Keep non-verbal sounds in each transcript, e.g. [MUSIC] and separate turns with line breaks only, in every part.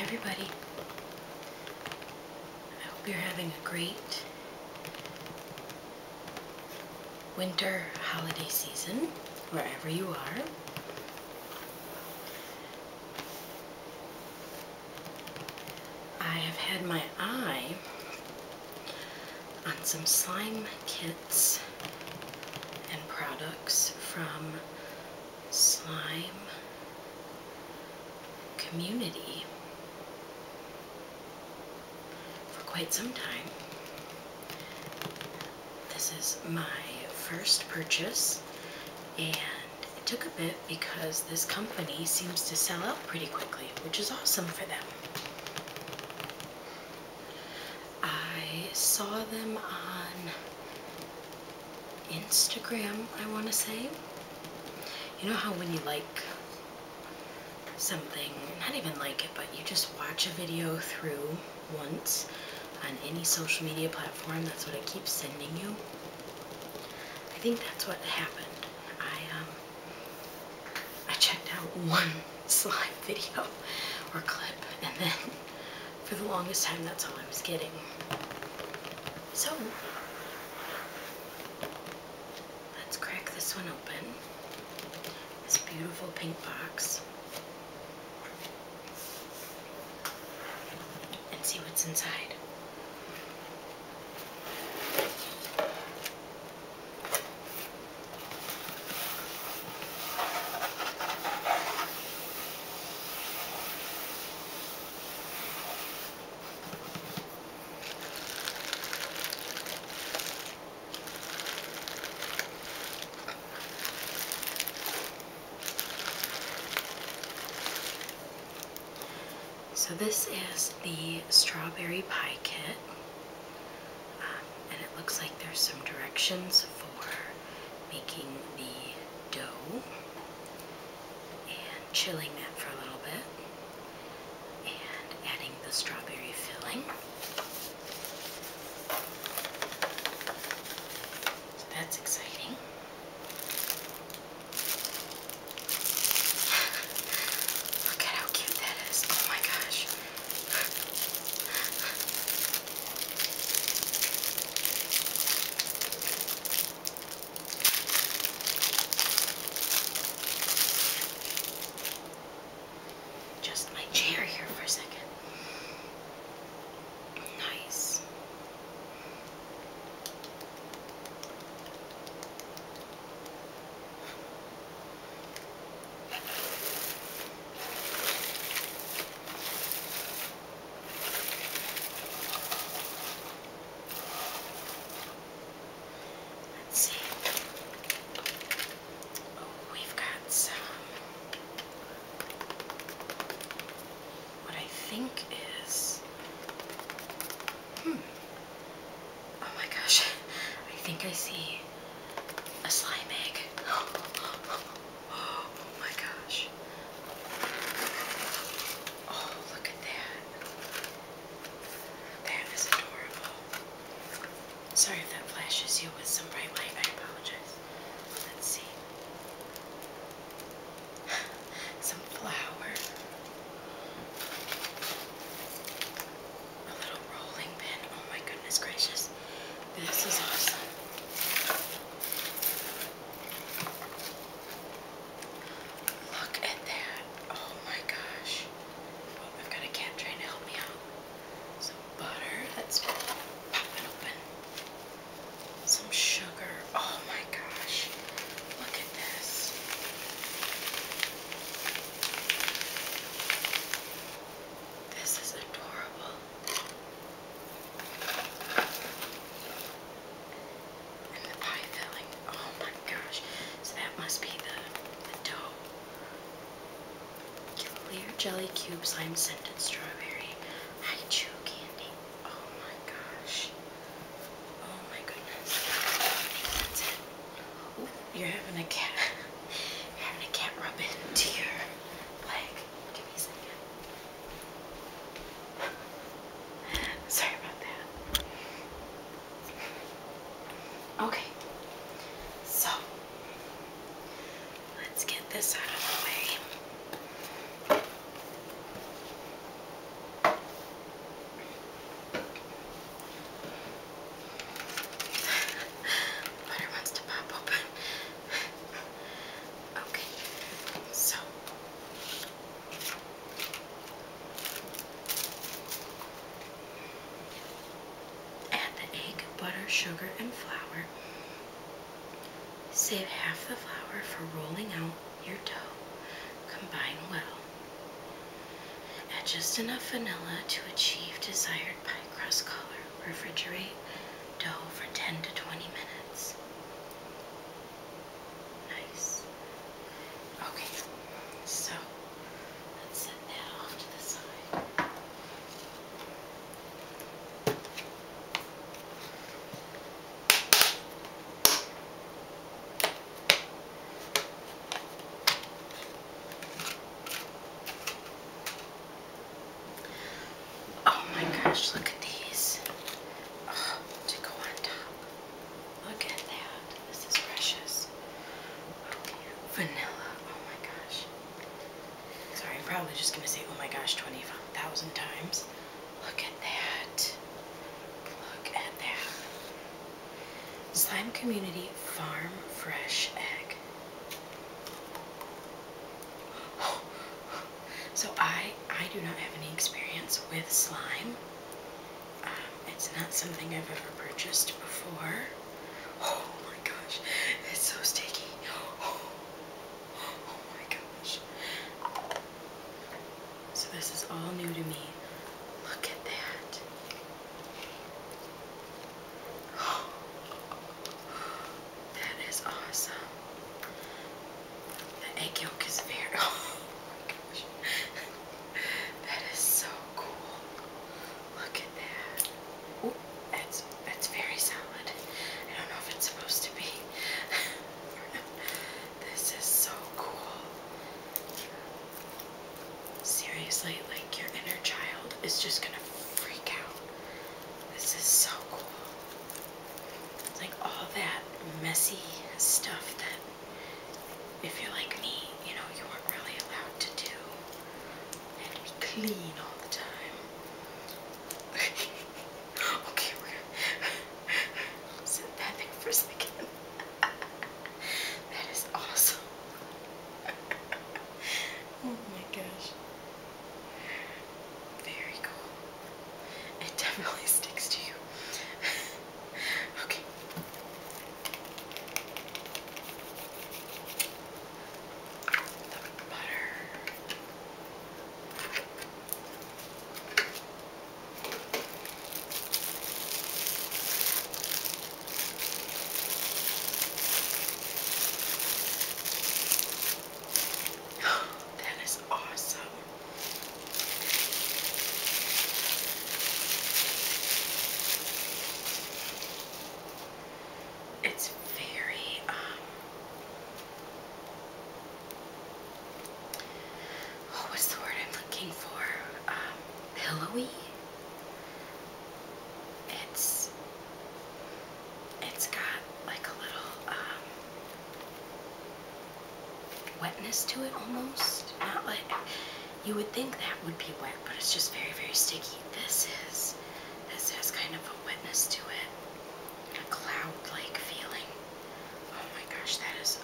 everybody. I hope you're having a great winter holiday season, wherever you are. I have had my eye on some slime kit and products from Slime Community for quite some time. This is my first purchase and it took a bit because this company seems to sell out pretty quickly, which is awesome for them. I saw them on Instagram, I want to say. You know how when you like something, not even like it, but you just watch a video through once on any social media platform, that's what it keeps sending you. I think that's what happened. I um, I checked out [LAUGHS] one slime video or clip, and then for the longest time, that's all I was getting. So, let's crack this one open. This beautiful pink box. And see what's inside. So this is the strawberry pie kit um, and it looks like there's some directions for making the dough and chilling that for a little bit and adding the strawberry filling. So that's exciting. [SIGHS] Look at how cute that is. Oh my gosh. Just my chair here for a second. Nice. Let's see. Oh, we've got some. What I think is. Hmm. Oh my gosh. [LAUGHS] I think I see a slime egg. [GASPS] Oh, Oh, my gosh. Oh, look at that. That is adorable. Sorry if that flashes you with some bright light. I apologize. Let's see. [SIGHS] some flour. A little rolling pin. Oh my goodness gracious. This is awesome. Look at that. Oh my gosh. I've got a cat trying to help me out. Some butter. Let's pop it open. Some sugar. Oh my gosh. Look at this. This is adorable. And the pie filling. Oh my gosh. So that must be the, the dough. Clear jelly cubes, lime scented strawberry. I chew candy. Oh my gosh. Oh my goodness. you're having a cat. [LAUGHS] having a cat rub into your leg. Give me a second. [LAUGHS] Sorry about that. Okay. So, let's get this out of the way. [LAUGHS] Butter wants to pop open. Okay, so add the egg, butter, sugar, and flour. Save half the flour for rolling out your dough. Combine well. Add just enough vanilla to achieve desired pie crust color. Refrigerate dough for 10 to 20 minutes. Nice. Okay, so let's set that off to the side. Oh my gosh, look at these. Oh, to go on top. Look at that. This is precious. Okay. Vanilla. Oh my gosh. Sorry, I'm probably just going to say, oh my gosh, 25,000 times. Look at that. Look at that. Slime Community Farm Fresh Egg. [SIGHS] So I I do not have any experience with slime. Um, it's not something I've ever purchased before. Oh my gosh, it's so sticky. [GASPS] Oh, oh, my gosh. So this is all new to me. Look at that. [GASPS] Oh, that is awesome. The egg yolk is very. [LAUGHS] Oh my gosh. that is so cool. Look at that. that's that's very solid. I don't know if it's supposed to be. [LAUGHS] this is so cool. Seriously, like your inner child is just gonna freak out. This is so cool like all that messy stuff that if you're like me, you know, you are not really allowed to do and be clean all the time. [LAUGHS] okay, we're gonna set that thing for a second. [LAUGHS] that is awesome. [LAUGHS] oh my gosh. Very cool. It definitely sticks to you. okay. The butter. That is awesome. It's very, um, what's the word I'm looking for? Um, pillowy. It's it's got like a little um, wetness to it almost. Not like you would think that would be wet, but it's just very, very sticky. This is, this has kind of a wetness to it, a cloud-like feeling. Oh my gosh, that is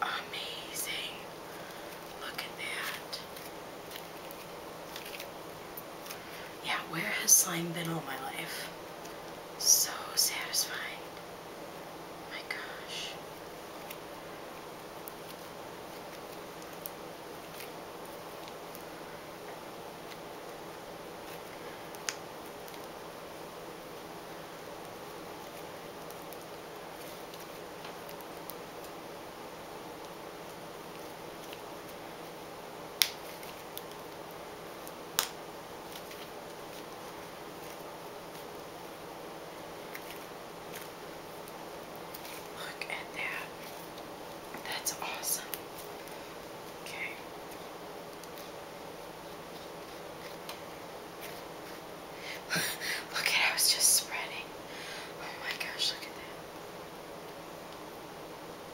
amazing. Look at that. Yeah, where has slime been all my life? so satisfying. My gosh. Look at that. That's awesome. Okay. [LAUGHS] look at it, I just spreading. Oh my gosh, look at that.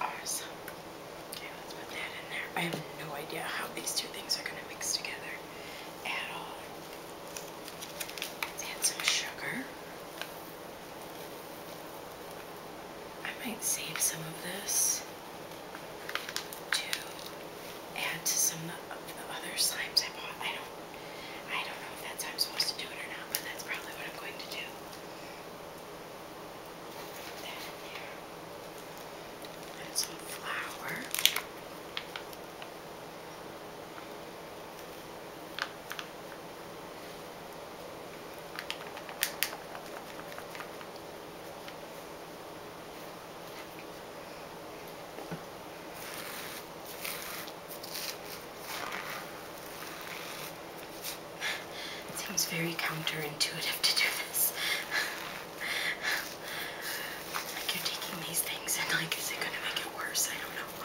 Awesome. Okay, let's put that in there. I have no idea how these two things are going to mix together at all. let add some sugar. I might save some of this to add to some of the other slimes I bought. I don't I don't know if that's how I'm supposed to do it or not, but that's probably what I'm going to do. Put that in there. Put some flour seems very counterintuitive to do this. like you're taking these things and like, is it gonna make it worse? I don't know.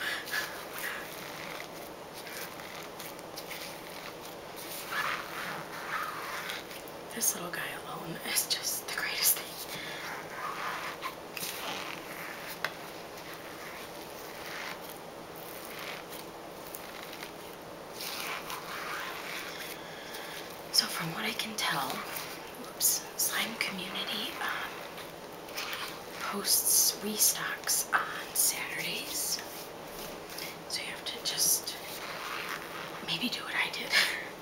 This little guy alone is just the greatest thing. So from what I can tell, Slime Community um, posts restocks on Saturdays. So you have to just maybe do what I did.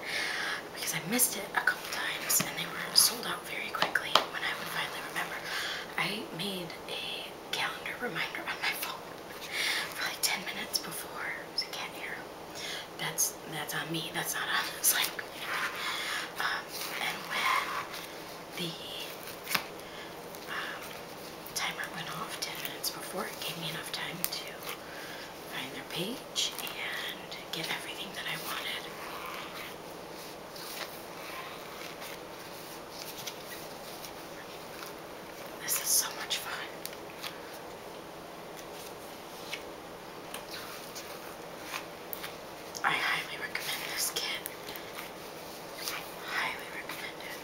[LAUGHS] because I missed it a couple times and they were sold out very quickly when I would finally remember. I made a calendar reminder on my phone for like 10 minutes before so you can here. that's that's on me that's not on this like um, and when the um, timer went off 10 minutes before gave me enough time to find their page and get everything that I wanted this is so much fun. I highly recommend this kit. Highly recommend it.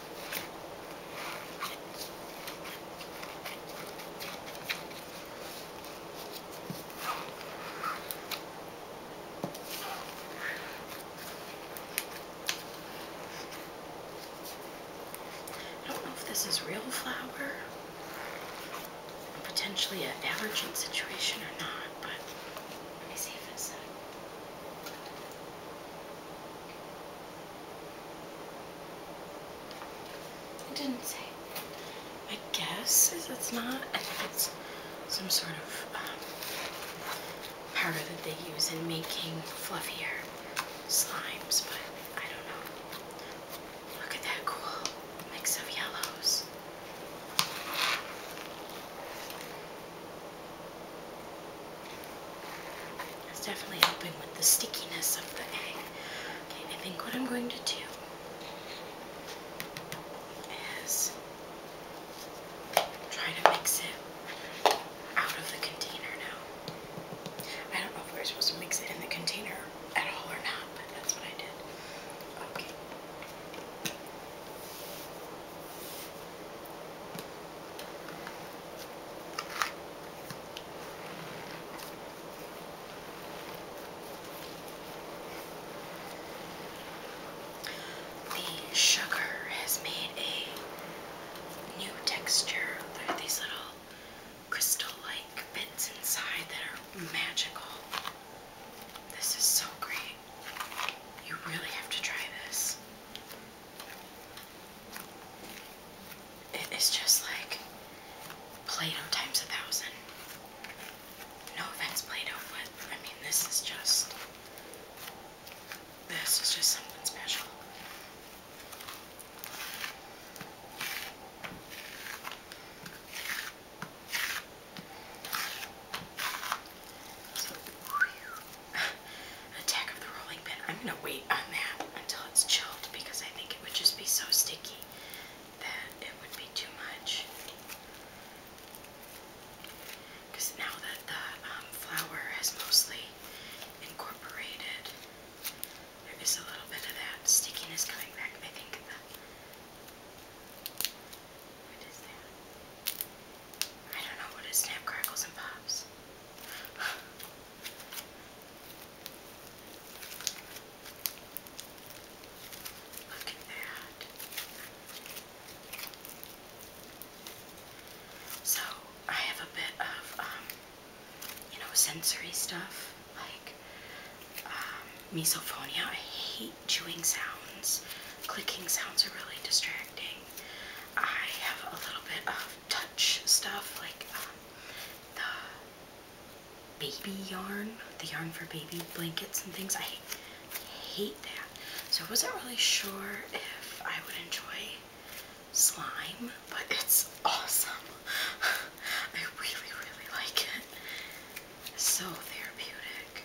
I don't know if this is real flower. potentially a allergen situation or not, but let me see if it's it didn't say. I guess it's not. I it's some sort of um, powder that they use in making fluffier slimes, but I don't know. Look at that cool mix of yellows. That's definitely helping with the stickiness of the egg. Okay, I think what I'm going to do is try to mix it out of the container now. I don't know if we we're supposed to mix it in the container at all or not, but that's what I did. Okay. The sugar has made a new texture. There these little crystal-like bits inside that are magical. This is so great. You really have to try this. It is just like Play-Doh times a thousand. No offense, Play-Doh, but I mean, this is just this is just something special. [SIGHS] Attack of the Rolling Pin. I'm going to wait on that until it's chilled because I think it would just be so sticky that it would be too much. Because now that the um, flour has mostly incorporated, there is a little bit of that stickiness coming back. I the what is that? I don't know what is snap crackles and pops. [LAUGHS] Look at that. So I have a bit of, um, you know, sensory stuff like um, misophonia. I hate chewing sounds. Clicking sounds are really distracting. I have a little bit of touch stuff like um, the baby yarn, the yarn for baby blankets and things. I hate hate that. So I wasn't really sure if I would enjoy slime, but it's awesome. [LAUGHS] I really, really like it. so therapeutic.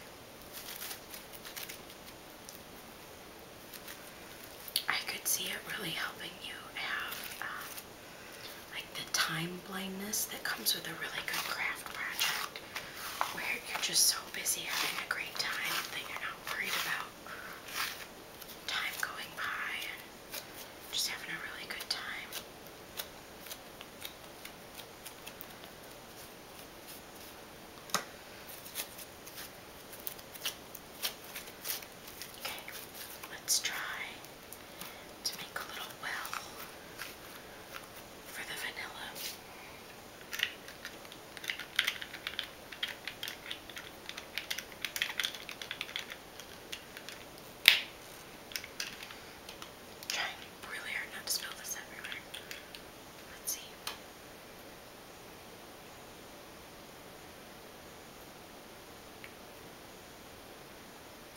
I could see it really helping you have um, like the time blindness that comes with a really good craft project where you're just so busy having a great time that you're not worried about time going by and just having a really good time. Okay, let's try to make a little well for the vanilla. Trying really hard not to spill this everywhere. Let's see.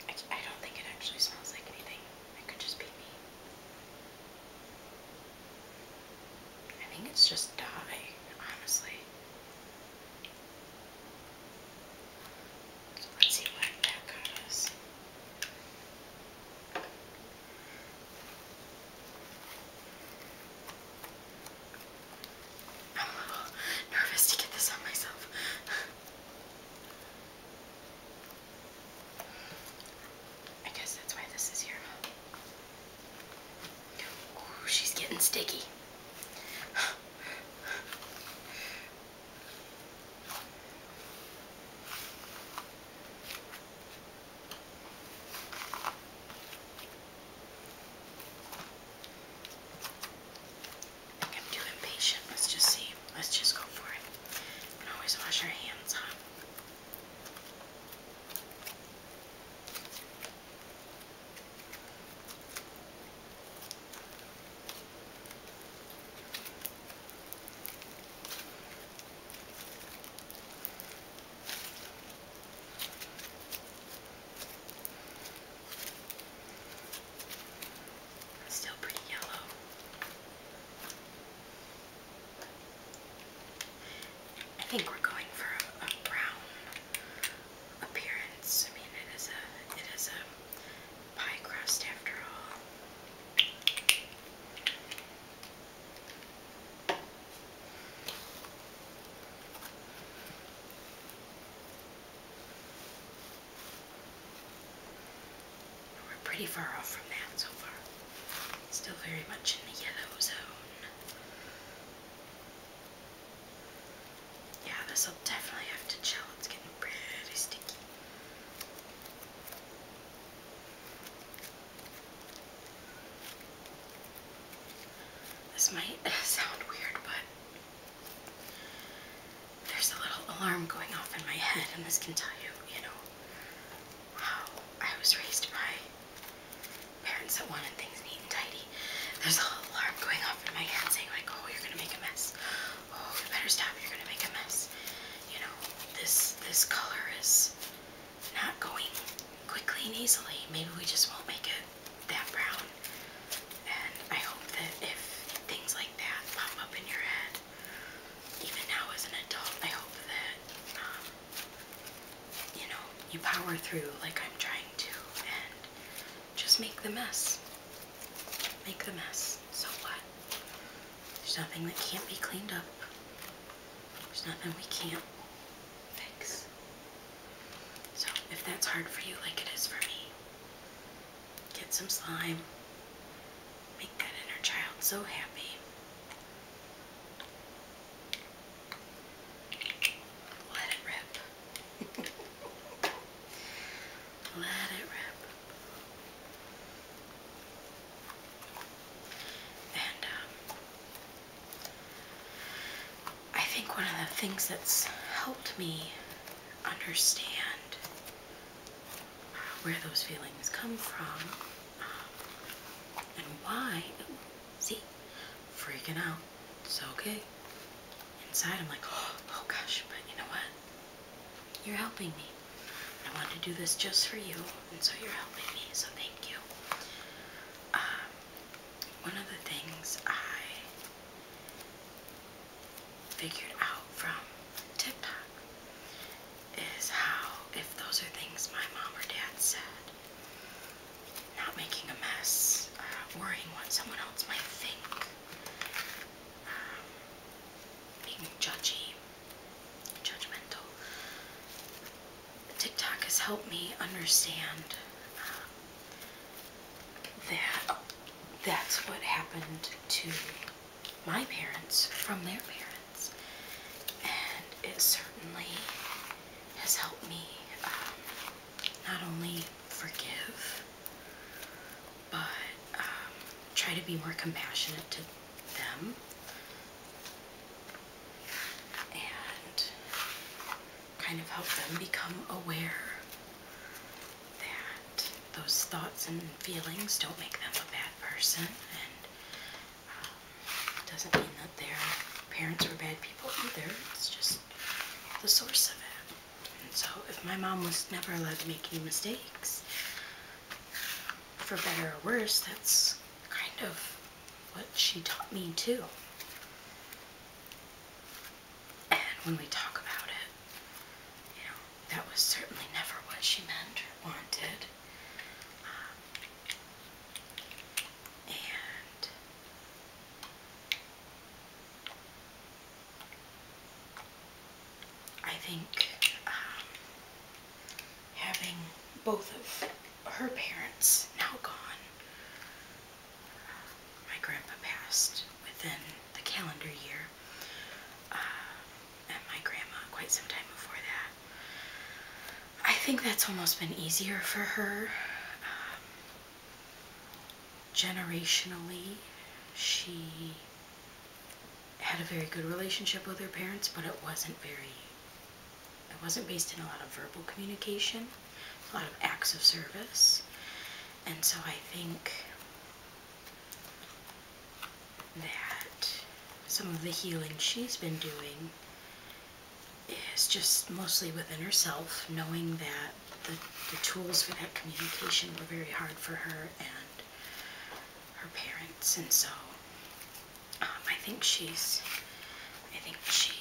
I, I don't think it actually smells like anything. It could just be me. I think it's just dye, honestly. let's see what that got I'm a little nervous to get this on myself. I guess that's why this is here. she's getting sticky. I am too impatient. Let's just see. Let's just go for it. always wash our hands, huh? Still pretty yellow. I think we're going for a, brown appearance. I mean, it is a it is a pie crust after all. We're pretty far off from that so far. Still very much in the yellow zone. Yeah, this'll definitely have to chill. It's getting pretty sticky. This might [LAUGHS] sound weird, but there's a little alarm going off in my head, and this can tell you, you know, how I was raised by parents that wanted things neat and tidy. There's a little alarm going off in my head saying like, oh, you're gonna make a mess. Oh, you better stop, you're gonna make a mess. You know, this, this color is not going quickly and easily. Maybe we just won't make it that brown. And I hope that if things like that pop up in your head, even now as an adult, I hope that um, you know, you power through like I'm trying to and just make the mess. Make the mess. So what? There's nothing that can't be cleaned up. There's nothing we can't fix. So if that's hard for you like it is for me, get some slime. Make that inner child so happy. Let it rip. Let it rip. And um, I think one of the things that's helped me understand where those feelings come from and why? see, freaking out. It's okay. Inside, I'm like, [GASPS] oh, gosh, but you know what? You're helping me. I want to do this just for you, and so you're helping me, so thank you. Um, one of the things I figured out from TikTok is how, if those are things my mom or dad said, not making a mess, uh, worrying what someone else might think, um, being judgy, judgmental. TikTok has helped me understand um, that that's what happened to my parents from their parents. And it certainly has helped me um, not only forgive, but um, try to be more compassionate to them. And kind of help them become aware that those thoughts and feelings don't make them a bad person it doesn't mean that their parents were bad people either. It's just the source of it. so if my mom was never allowed to make any mistakes, for better or worse, that's kind of what she taught me too. And when we talk about it, you know, that was certainly never what she meant or wanted. Um, and I think um, having both of her parents now gone, my grandpa passed within the calendar year, uh, and my grandma quite some time before that. I think that's almost been easier for her. Um, generationally, she had a very good relationship with her parents, but it wasn't very, it wasn't based in a lot of verbal communication, a lot of acts of service. And so I think that some of the healing she's been doing is just mostly within herself, knowing that the, the tools for that communication were very hard for her and her parents. And so um, I think she's, I think she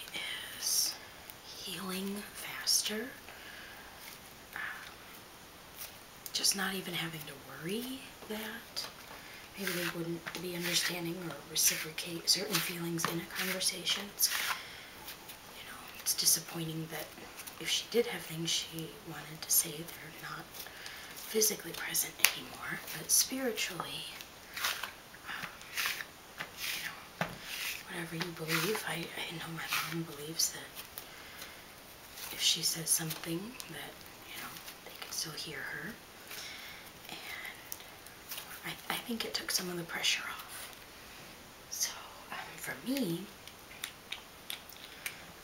is healing faster. Um, just not even having to worry that maybe they wouldn't be understanding or reciprocate certain feelings in a conversation. It's, you know, it's disappointing that if she did have things she wanted to say, they're not physically present anymore, but spiritually, um, you know, whatever you believe, I, I know my mom believes that if she says something that, you know, they can still hear her and I, I think it took some of the pressure off. So um, for me,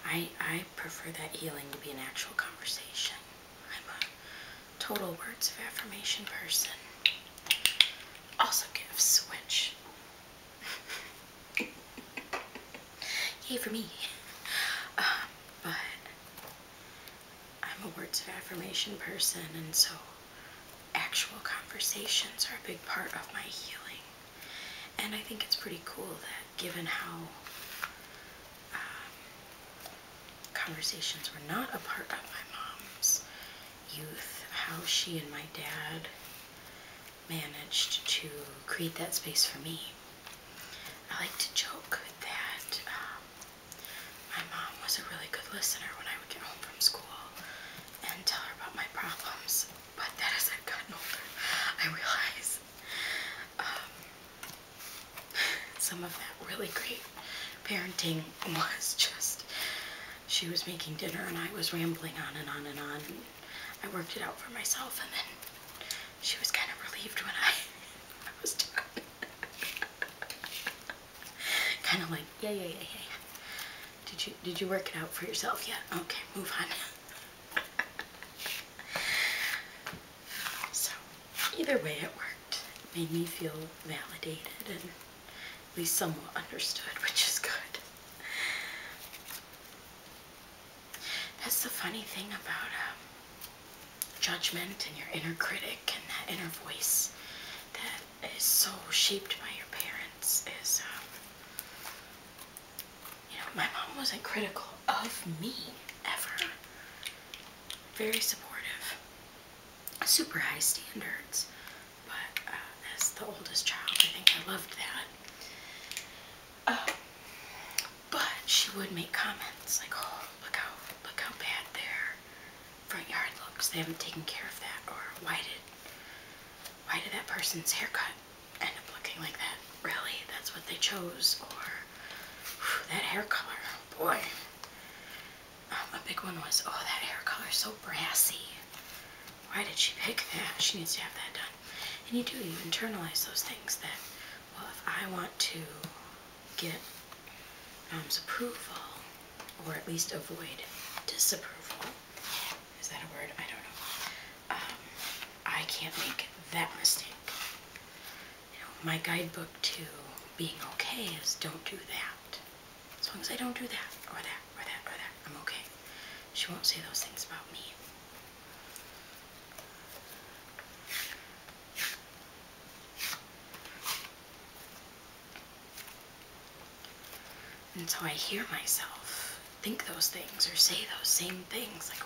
I, I prefer that healing to be an actual conversation. I'm a total words of affirmation person. Also gifts, switch. [LAUGHS] yay for me. Uh, but I'm a words of affirmation person, and so actual conversations are a big part of my healing. And I think it's pretty cool that given how um, conversations were not a part of my mom's youth, how she and my dad managed to create that space for me. I like to joke that um, my mom was a really good listener when I would get home from school and tell her about my problems, but that as gotten older, I realize um, some of that really great parenting was just she was making dinner and I was rambling on and on and on. I worked it out for myself and then she was kind of relieved when I, [LAUGHS] I was done kind of like, yeah, yeah, yeah, yeah, yeah. Did you, did you work it out for yourself yet? Okay, move on. [LAUGHS] so, either way it worked. made me feel validated and at least somewhat understood, which is good. That's the funny thing about um, judgment and your inner critic and that inner voice that is so shaped by your parents is, um, you know, my mom wasn't critical of me ever. Very supportive, super high standards, but uh, as the oldest child, I think I loved that. Uh, but she would make comments like, oh, look how, look how bad their front yard looks. They haven't taken care of that. Or why did why did that person's haircut end up looking like that? Really? That's what they chose. Or that hair color. Oh boy. Um, a big one was, oh, that hair color so brassy. Why did she pick that? She needs to have that done. And you do, you internalize those things that, well, if I want to get mom's approval, or at least avoid disapproval. Is that a word? I don't know. Um, I can't make that mistake. You know, my guidebook to being okay is don't do that. As long as I don't do that, or that, or that, or that, I'm okay. She won't say those things about me. And so I hear myself think those things or say those same things. Like,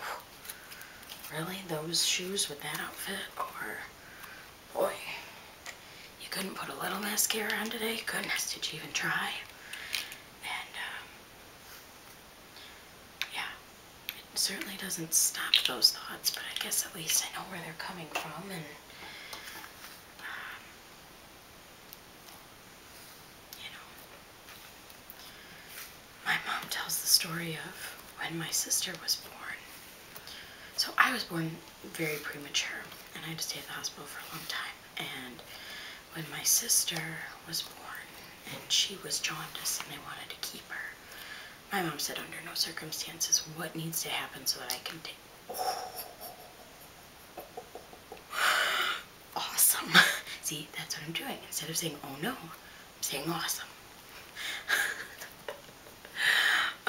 really? Those shoes with that outfit? Or, boy, you couldn't put a little mascara on today? Goodness, did you even try? And, um, yeah, certainly doesn't stop those thoughts, but I guess at least I know where they're coming from and. Um, you know, my mom tells the story of when my sister was born. So I was born very premature, and I had to stay at the hospital for a long time. And when my sister was born, and she was jaundiced, and they wanted to keep her, my mom said under no circumstances what needs to happen so that I can take. [SIGHS] Awesome. [LAUGHS] See, that's what I'm doing. Instead of saying, oh no, saying awesome. [LAUGHS]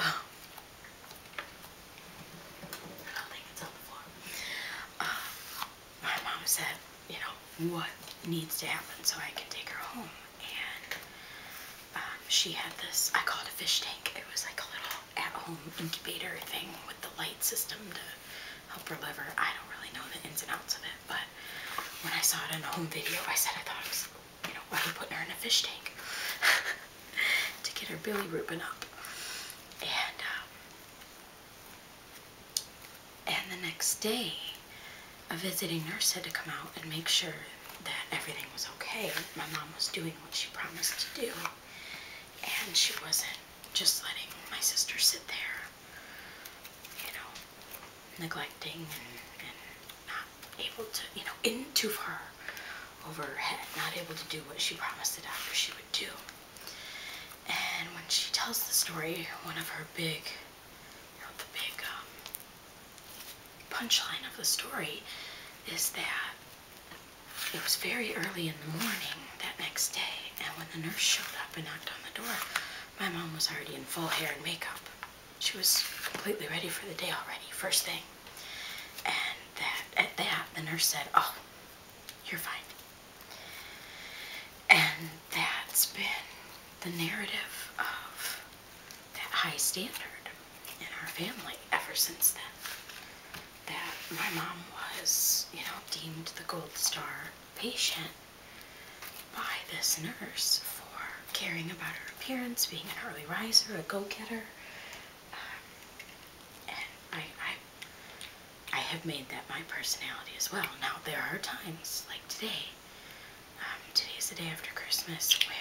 Um, um, my mom said, you know, what needs to happen so I can take her home? and um, she had this, I call it a fish tank. It was like a little at-home incubator thing with the light system to help her liver. I don't really know the ins and outs of it, but when I saw it in a home video, I said I thought it was, you know, why are you putting her in a fish tank? [LAUGHS] to get her billy bilirubin up. And, um, and the next day, a visiting nurse had to come out and make sure that everything was okay. My mom was doing what she promised to do, and she wasn't just letting my sister sit there, you know, neglecting and, not able to, you know, into too over her head, not able to do what she promised the doctor she would do. And when she tells the story, one of her big, you the big um, punchline of the story is that it was very early in the morning that next day, and when the nurse showed up and knocked on the door, my mom was already in full hair and makeup. She was completely ready for the day already, first thing. And that at that, the nurse said, oh, you're fine. And that's been the narrative of that high standard in our family ever since then. That my mom was, you know, deemed the gold star patient by this nurse for caring about her appearance, being an early riser, a go-getter. Um, and I, I, I have made that my personality as well. Now, there are times, like today, um, Today is the day after Christmas, where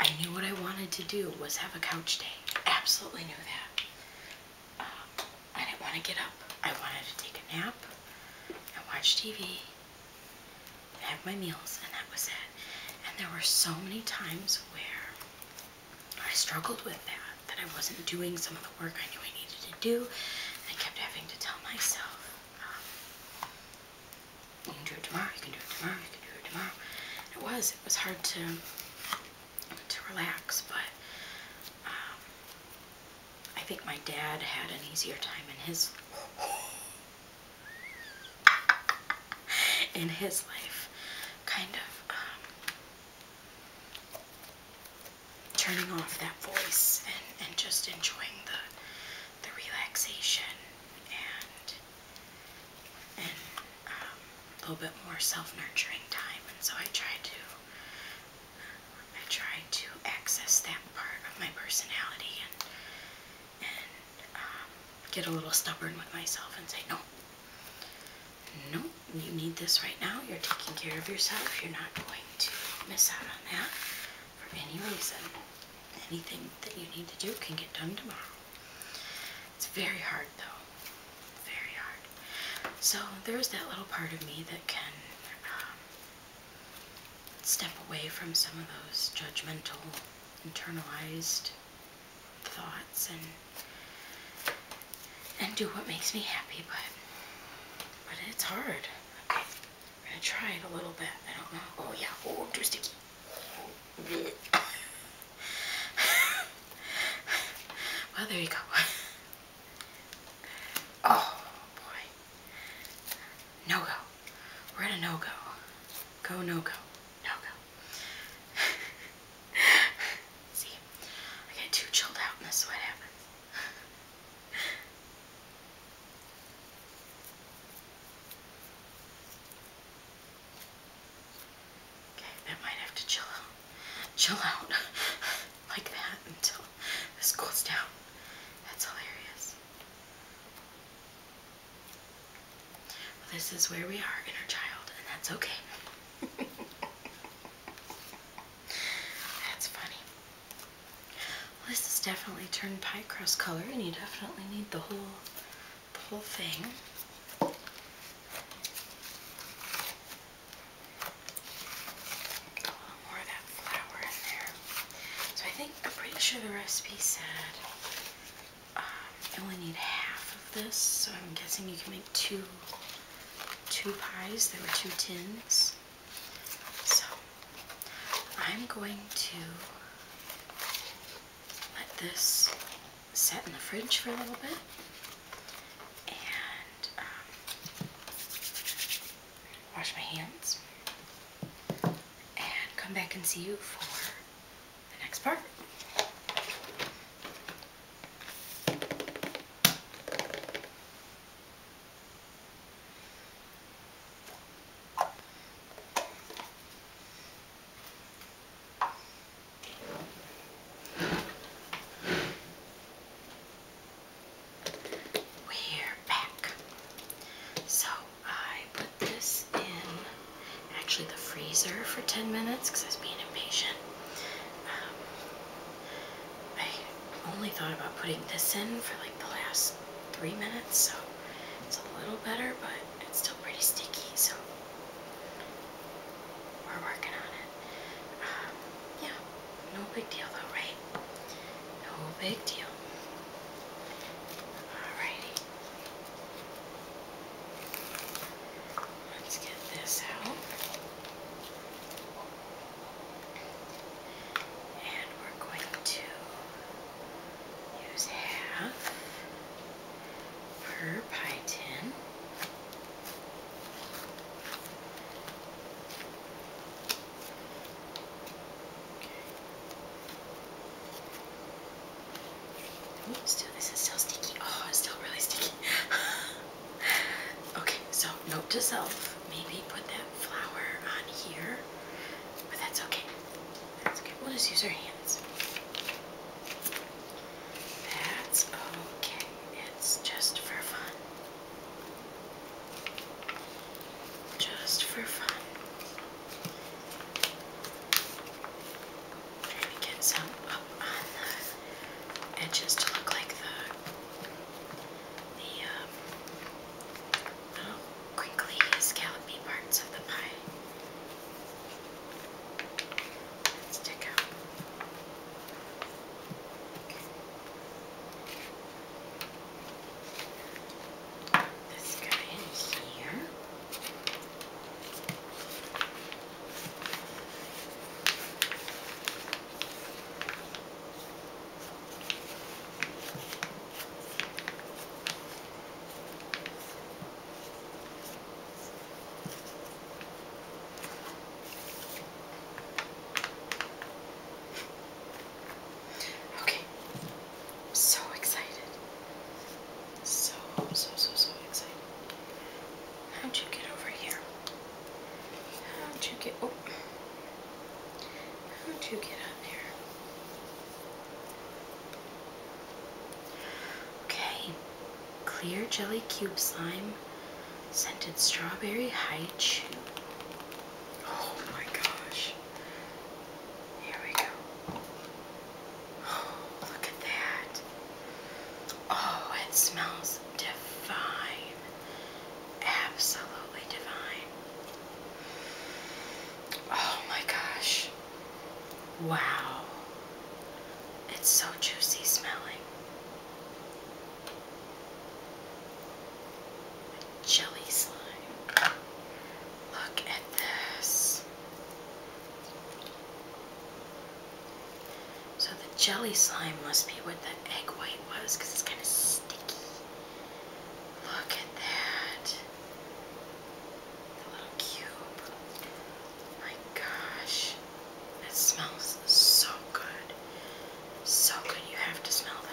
I knew what I wanted to do was have a couch day. Absolutely knew that. Uh, I didn't want to get up. I wanted to take a nap and watch TV have my meals, and that was it. And there were so many times where I struggled with that, that I wasn't doing some of the work I knew I needed to do. And I kept having to tell myself, um, you can do it tomorrow, you can do it tomorrow, you can do it tomorrow. it was, it was hard to, to relax, but um, I think my dad had an easier time in his, in his life, kind of um, turning off that voice and, and just enjoying the the relaxation and and um, a little bit more self-nurturing time. And so I tried to I try to access that part of my personality and and um, get a little stubborn with myself and say no. No, you need this right now. You're taking care of yourself. You're not going to miss out on that for any reason. Anything that you need to do can get done tomorrow. It's very hard though. Very hard. So there is that little part of me that can um, step away from some of those judgmental, internalized thoughts and and do what makes me happy, but but it's hard gonna try it a little bit. I don't know. Oh yeah. Oh, too sticky. [LAUGHS] well, there you go. [LAUGHS] oh boy. No go. We're at a no go. Go no go. No [LAUGHS] go. See, I get too chilled out, and this is what Okay, that might have to chill out, chill out [LAUGHS] like that until this cools down. That's hilarious. this is where we are, inner child, and that's okay. [LAUGHS] that's funny this has definitely turned pie crust color, and you definitely need the whole, whole thing. Get a little more of that flour in there. So I think I'm pretty sure the recipe said um, I only need half of this, so I'm guessing you can make two, two pies. There were two tins. So I'm going to let this set in the fridge for a little bit. And um, wash my hands. And come back and see you for the next part. We're back. So I put this in actually the freezer for 10 minutes because I was being impatient. Um, I only thought about putting this in for like the last three minutes, so it's a little better, but it's still pretty sticky, so we're working on it. Um, yeah, no big deal though, right? No big deal. Alrighty. Let's get this out. And we're going to use half per pie tin. still, this is still sticky. Oh, it's still really sticky. [LAUGHS] okay, so note to self, maybe put that flour on here, but that's okay. That's good. We'll just use our hands. That's okay. It's just for fun. Just for fun. I'm get some up on the edges to look like the the um, Quickly scallopy parts of the pie stick out. This guy in here. Okay, I'm so excited. So, so, so, so excited. How'd you get over here? How'd you get, oh. How'd you get up there? Okay, clear jelly cube slime, scented strawberry haichu. Oh my gosh. Here we go. Oh, look at that. Oh, it smells divine. Absolutely divine. Oh my gosh. Wow. It's so juicy smelling. Jelly slime. Look at this. So the jelly slime must be what the egg white was because it's kind of sticky. Look at that. The little cube. My gosh. That smells so good. So good. You have to smell that.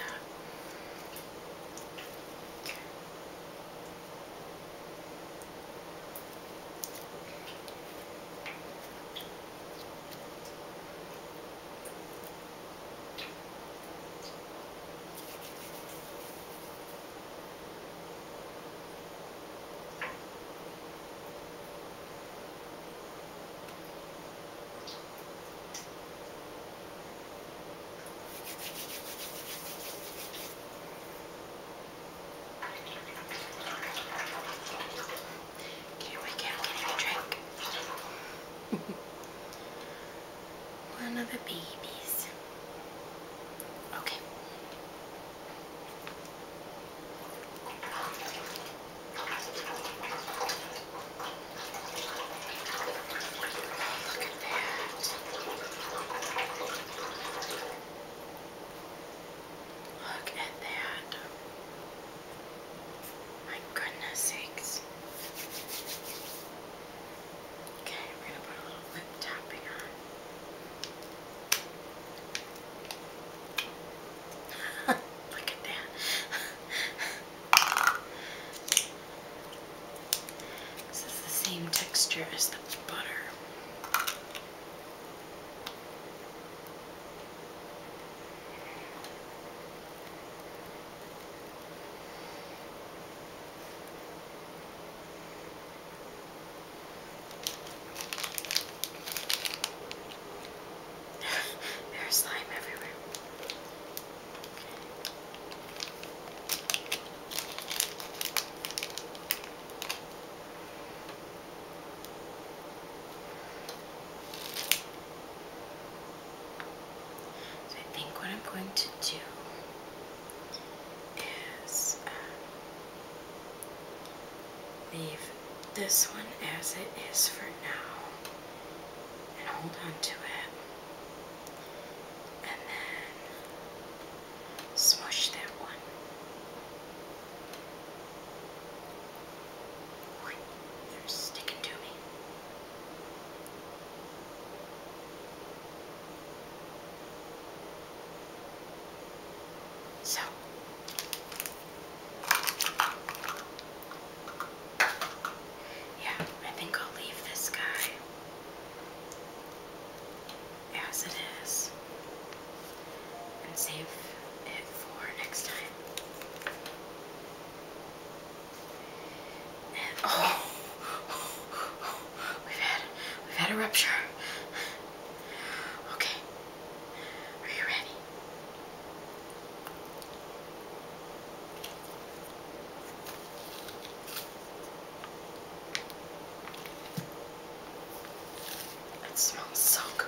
Here we go, getting a drink. [LAUGHS] One of the babies. Okay. look at that. Look at that. My goodness sakes. Okay, we're going to put a little lip tapping on. [LAUGHS] Look at that. [LAUGHS] this is the same texture as the butter. [LAUGHS] There's slime everywhere. So I think what I'm going to do is um, leave this one as it is for now and hold on to it and then smush that one. They're sticking to me. So. Yeah, I think I'll leave this guy as it is and save it for next time oh, we've had we've had a rupture. Okay, are you ready? It smells so good.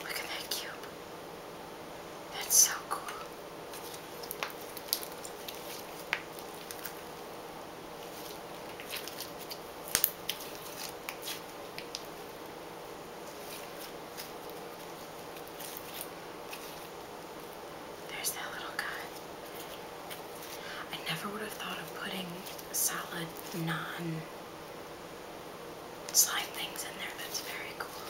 Look at that cube. That's so cool. There's that little guy. I never would have thought of putting solid non slide things in there. That's very cool.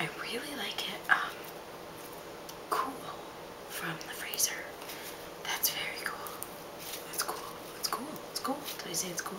I really like it um, cool from the freezer. That's very cool. That's cool. That's cool. That's cool. Did I say it's cool?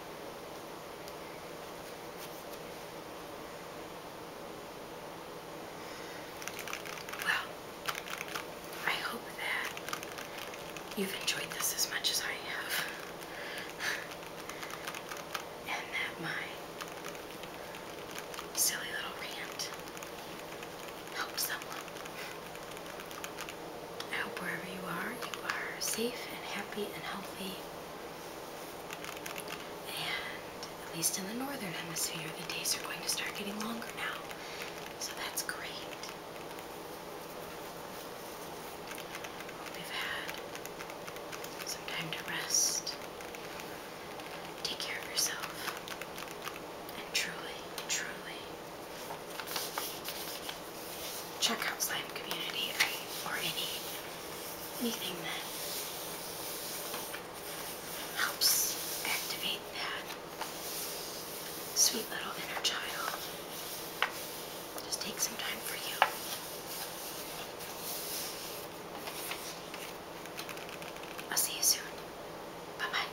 Well, I hope that you've enjoyed this as much as I have, and that my silly little rant helps someone. I hope wherever you are, you are safe and happy and healthy. And at least in the northern hemisphere, the days are going to start getting longer now. So that's great. Hope you've had some time to rest. Take care of yourself. And truly, truly, check out slime community or any anything that helps activate that sweet little inner child. Just take some time for you. I'll see you soon. Bye bye.